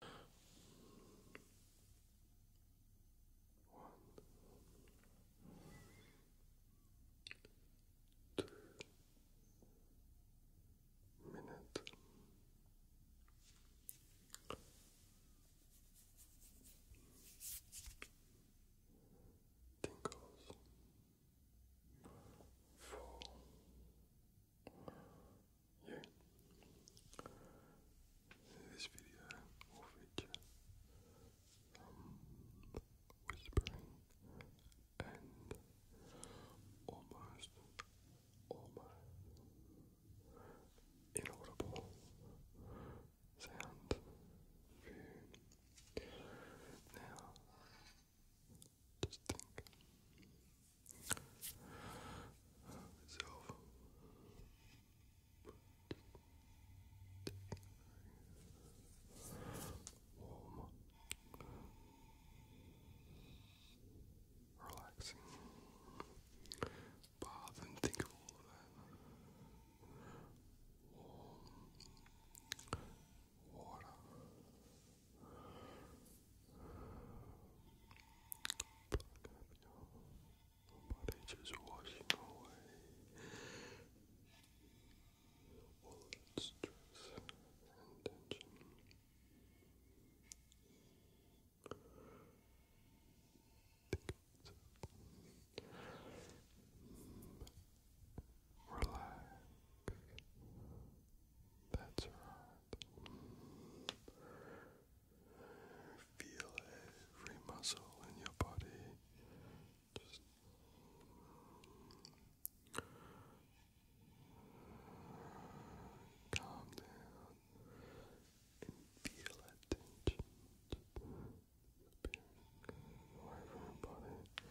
One, two, minute. Tingles. Four, yeah. This video will feature um, whispering and almost, almost inaudible sound for you. Now, just think. Myself. Warm. Relaxing. Bath and think of all that. Warm. Water your body just washing away all that stress and tension relax. That's right. Feel every muscle in your body. Just calm down and feel that tension disappearing away from your body.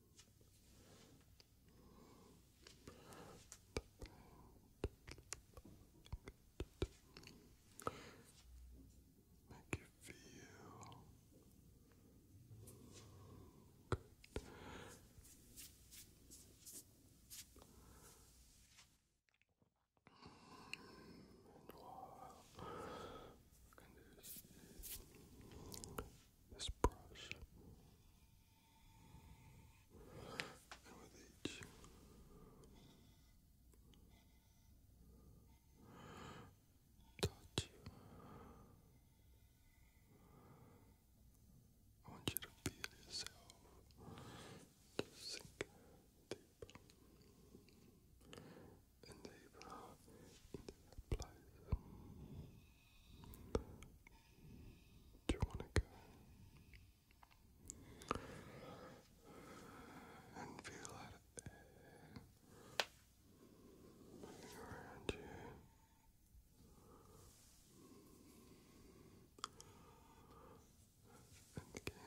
Make you feel good. And while I can do this, this brush, and with each touch, I want you to feel yourself to sink deeper and Libra into Do you want to go and feel that around you? And again,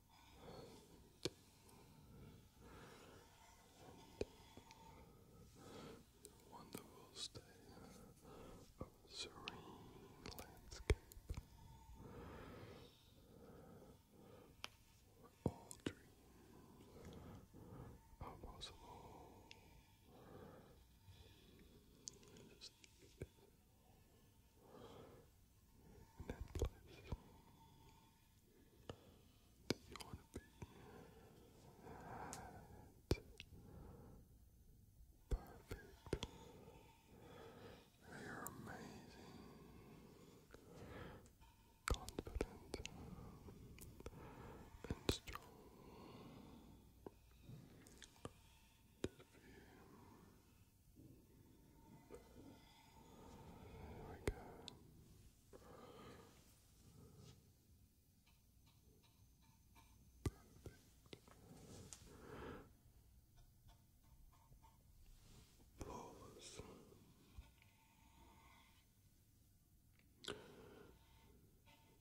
and the wonderful state a serene landscape all dreams are possible in that place that you want to be Perfect. You're amazing. Confident and strong. There we go. Perfect.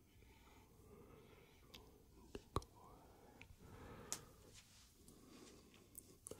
That with each touch is found deeper and deeper. Ah,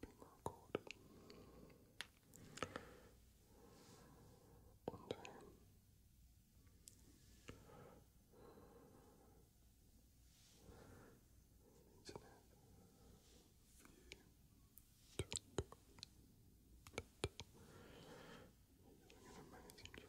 Bingo cord. On time. Internet view. Doing an amazing job.